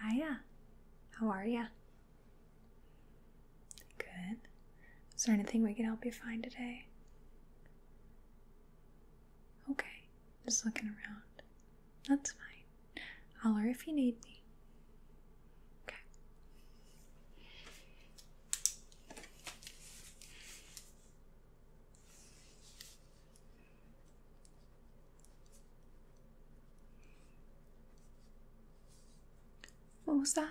Hiya. How are ya? Good. Is there anything we can help you find today? Okay, just looking around. That's fine. Holler if you need me. Okay. What was that?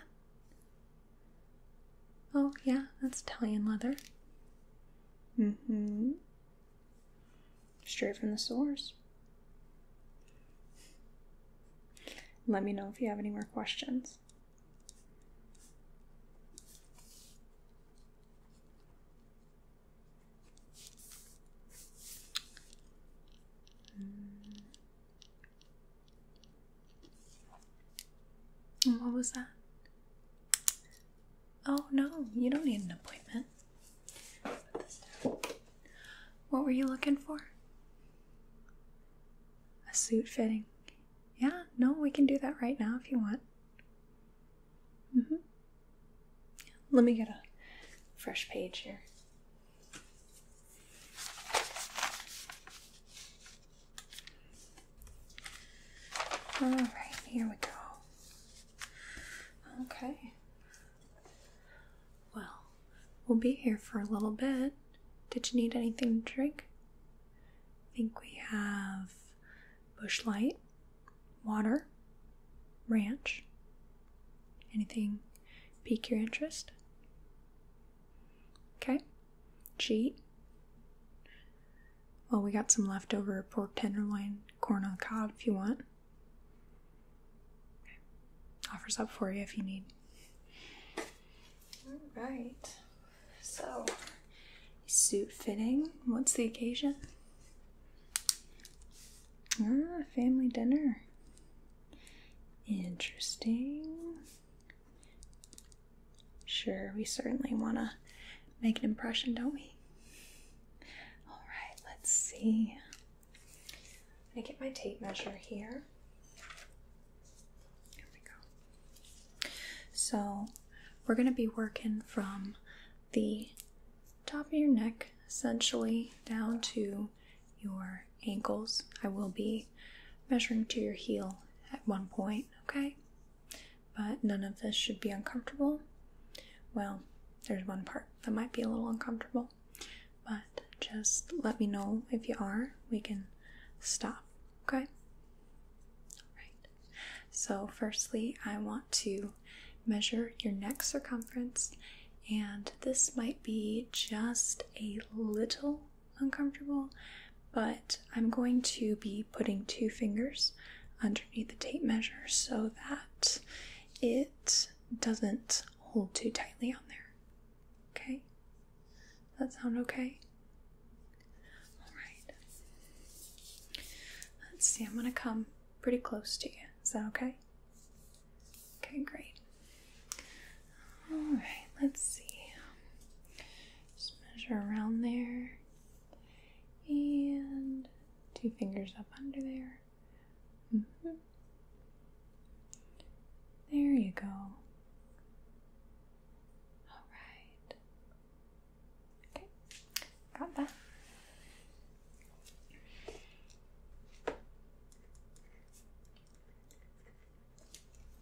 Oh, yeah, that's Italian leather. Mm hmm. Straight from the source. Let me know if you have any more questions. Mm. What was that? Oh no, you don't need an appointment. What were you looking for? A suit fitting. Yeah, no, we can do that right now if you want. Mm -hmm. Let me get a fresh page here. All right, here we go. Okay. Well, we'll be here for a little bit. Did you need anything to drink? I think we have bush bushlight water, ranch. Anything pique your interest? Okay. Cheat. Well, we got some leftover pork tenderloin, corn on the cob if you want. Offers up for you if you need. All right. So, suit fitting. What's the occasion? Ah, family dinner. Interesting. Sure, we certainly want to make an impression, don't we? All right, let's see. I'm going to get my tape measure here. Here we go. So, we're going to be working from the top of your neck, essentially down to your ankles. I will be measuring to your heel at one point, okay? But none of this should be uncomfortable. Well, there's one part that might be a little uncomfortable, but just let me know if you are. We can stop, okay? All right. So, firstly, I want to measure your neck circumference, and this might be just a little uncomfortable, but I'm going to be putting two fingers underneath the tape measure so that it doesn't hold too tightly on there. Okay? that sound okay? Alright. Let's see, I'm gonna come pretty close to you. Is that okay? Okay, great. Alright, let's see. Just measure around there. And two fingers up under there. Mm-hmm. There you go. All right. Okay, got that. Let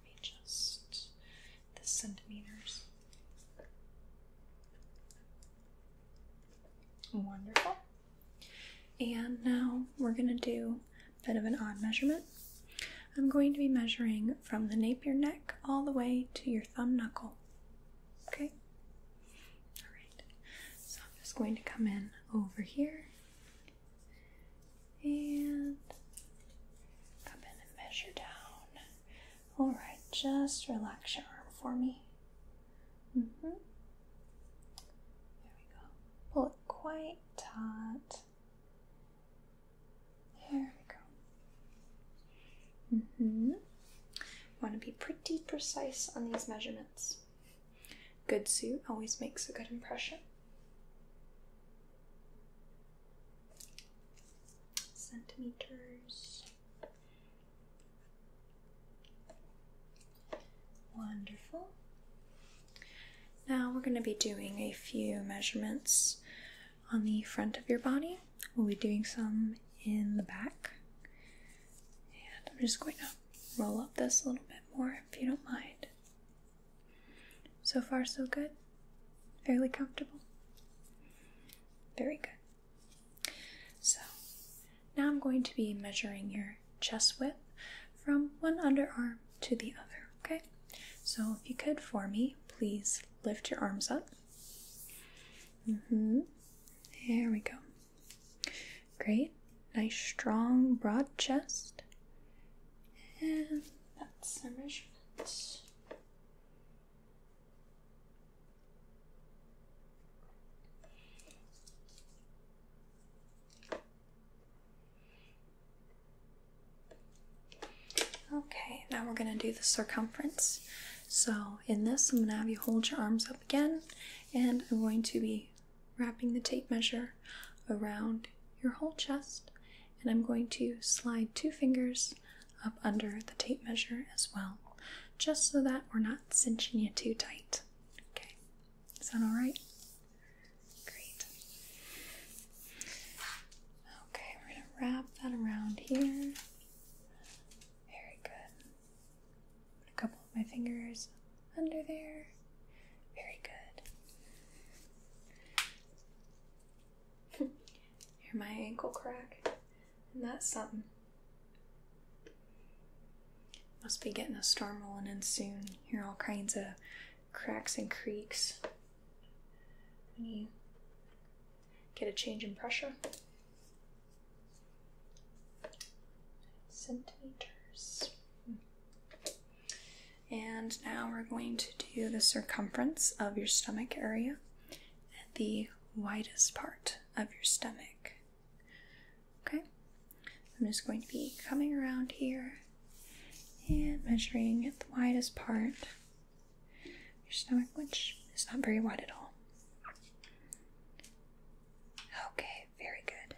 me just the centimeters. Wonderful. And now we're going to do a bit of an odd measurement. I'm going to be measuring from the nape of your neck all the way to your thumb knuckle. Okay. All right. So I'm just going to come in over here and come in and measure down. All right. Just relax your arm for me. Mhm. there we go. Pull it quite taut. Here we go. Mm-hmm. Want to be pretty precise on these measurements. Good suit always makes a good impression. Centimeters. Wonderful. Now we're going to be doing a few measurements on the front of your body. We'll be doing some in the back. And I'm just going to roll up this a little bit more if you don't mind. So far, so good. Fairly comfortable. Very good. So now I'm going to be measuring your chest width from one underarm to the other, okay? So if you could for me, please lift your arms up Mm-hmm. There we go. Great. Nice strong broad chest. And that's our measurements. Okay, now we're going to do the circumference. So, in this, I'm going to have you hold your arms up again, and I'm going to be wrapping the tape measure around your whole chest, and I'm going to slide two fingers up under the tape measure as well, just so that we're not cinching you too tight. Okay, is that all right? Great. Okay, we're going to wrap that around here. Very good. Put a couple of my fingers under there. Very good. Hear my ankle crack. And that's something. Must be getting a storm rolling in soon. Hear all kinds of cracks and creaks you get a change in pressure. Centimeters. And now we're going to do the circumference of your stomach area at the widest part of your stomach. Okay, I'm just going to be coming around here and measuring at the widest part your stomach, which is not very wide at all. Okay, very good.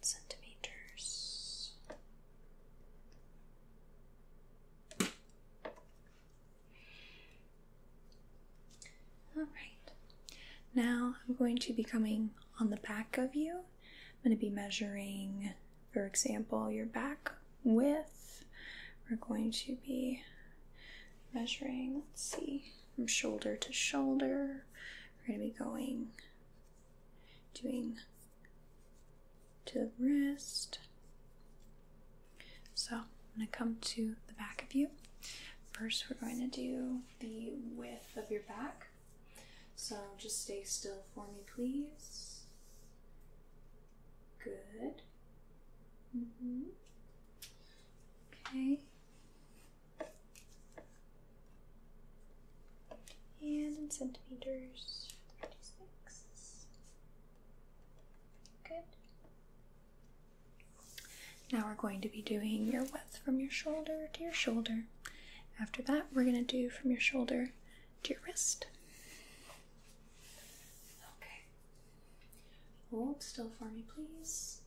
Centimeters. All right. Now I'm going to be coming on the back of you I'm going to be measuring, for example, your back width. We're going to be measuring, let's see, from shoulder to shoulder. We're going to be going, doing to the wrist. So I'm going to come to the back of you. First, we're going to do the width of your back. So just stay still for me, please. Good. Mm-hmm. Okay. And in centimeters, 36. Good. Now we're going to be doing your width from your shoulder to your shoulder. After that, we're going to do from your shoulder to your wrist. Okay. Hold still for me, please.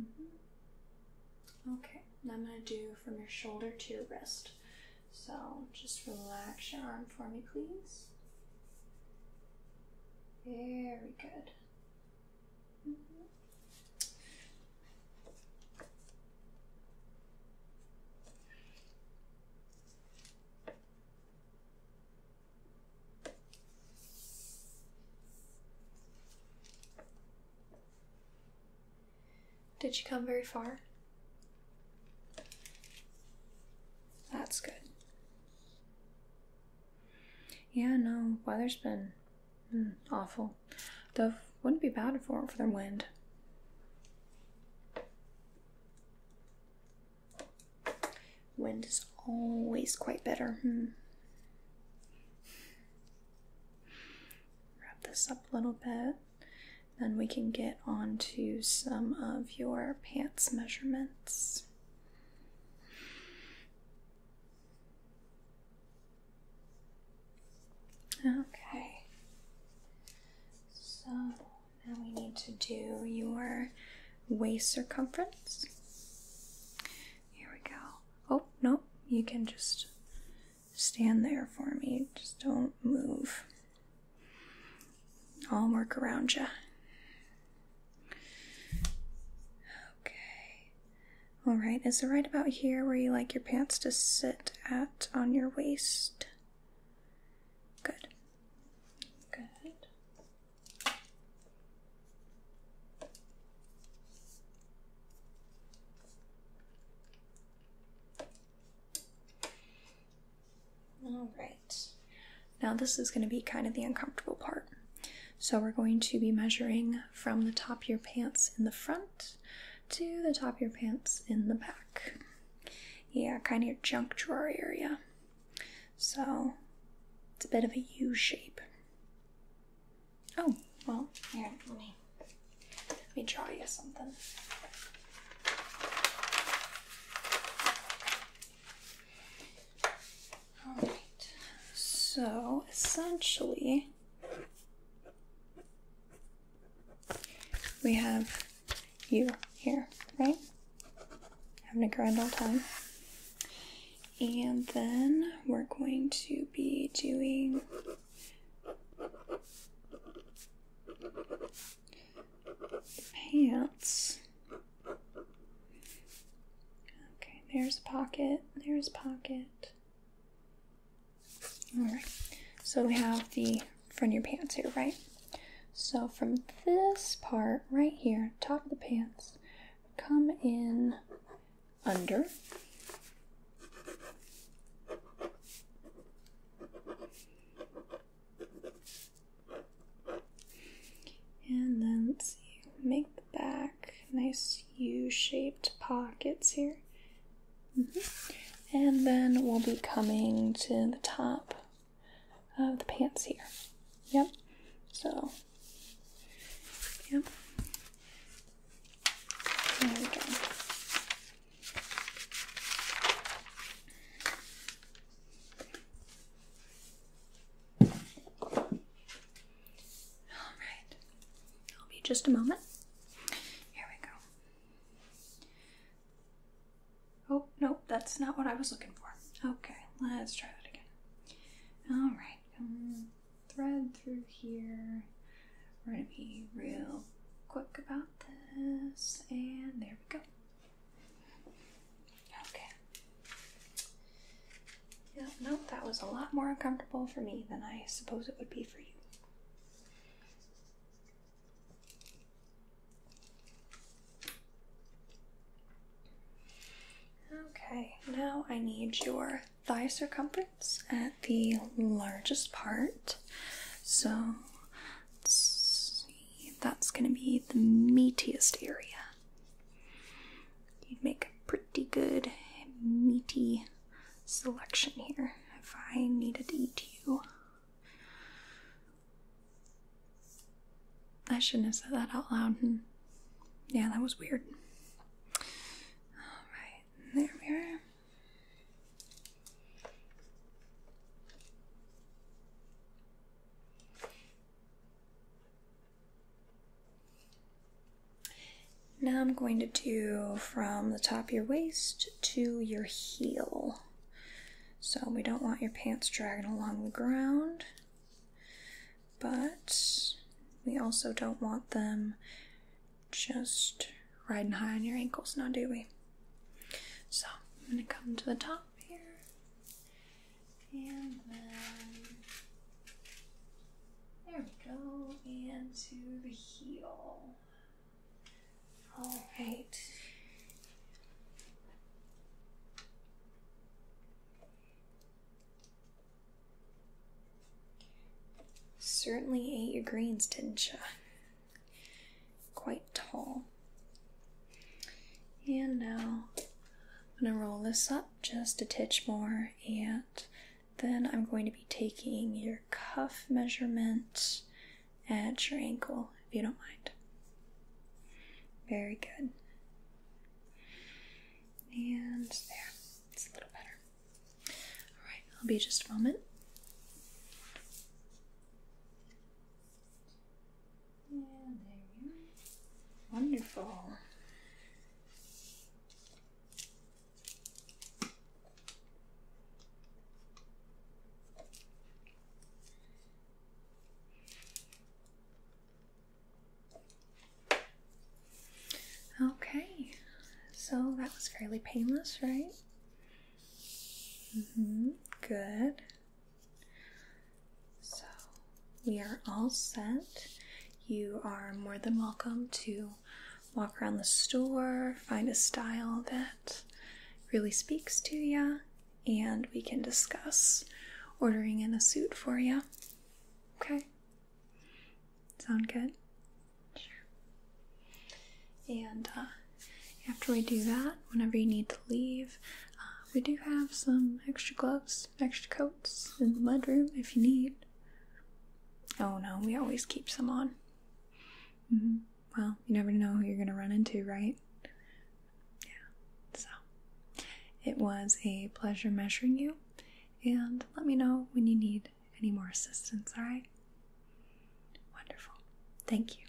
Mm-hmm. Okay, I'm going to do from your shoulder to your wrist. So just relax your arm for me, please. Very good. Did she come very far? That's good. Yeah, no, weather's been Hmm, awful. Though wouldn't be bad for for their wind. Wind is always quite better. Hmm. Wrap this up a little bit. Then we can get on to some of your pants measurements. Okay. So now we need to do your waist circumference. Here we go. Oh, no, you can just stand there for me. Just don't move. I'll work around you. Okay. Alright, is it right about here where you like your pants to sit at on your waist? Good. Good. All right. Now, this is going to be kind of the uncomfortable part. So, we're going to be measuring from the top of your pants in the front to the top of your pants in the back. Yeah, kind of your junk drawer area. So, it's a bit of a U shape. Oh, well, here, let me, let me draw you something. All right. So essentially, we have you here, right? Having a grand old time. And then we're going to be doing pants Okay, there's pocket, there's pocket. Alright, so we have the front of your pants here, right? So from this part right here, top of the pants, come in under. And then let's see, make the back nice U shaped pockets here. Mm-hmm. And then we'll be coming to the top of the pants here. Yep. So, yep. There we go. All right, it'll be just a moment. Here we go. Oh, no, that's not what I was looking for. Okay, let's try that again. All right, um, thread through here. We're gonna be real quick about this, and there we go. Okay. Yep, nope, that was a lot more uncomfortable for me than I suppose it would be for you. Okay, now I need your thigh circumference at the largest part. So that's going to be the meatiest area. You'd make a pretty good meaty selection here if I needed to eat you. I shouldn't have said that out loud. Yeah, that was weird. Alright, there we are. Now I'm going to do from the top of your waist to your heel. So we don't want your pants dragging along the ground, but we also don't want them just riding high on your ankles now, do we? So I'm going to come to the top here and then there we go, and to the heel. All right. Certainly ate your greens, didn't you? Quite tall. And now I'm going to roll this up just a titch more, and then I'm going to be taking your cuff measurement at your ankle, if you don't mind. Very good. And there, it's a little better. All right, I'll be just a moment. Yeah, there we are. Wonderful. Okay, so that was fairly painless, right? Mm-hmm. Good. So we are all set. You are more than welcome to walk around the store, find a style that really speaks to you, and we can discuss ordering in a suit for you. Okay? Sound good? Sure. And uh, after we do that, whenever you need to leave, uh, we do have some extra gloves, extra coats in the mudroom if you need. Oh no, we always keep some on. Mm-hmm. Well, you never know who you're going to run into, right? Yeah, so it was a pleasure measuring you, and let me know when you need any more assistance, alright? Wonderful. Thank you.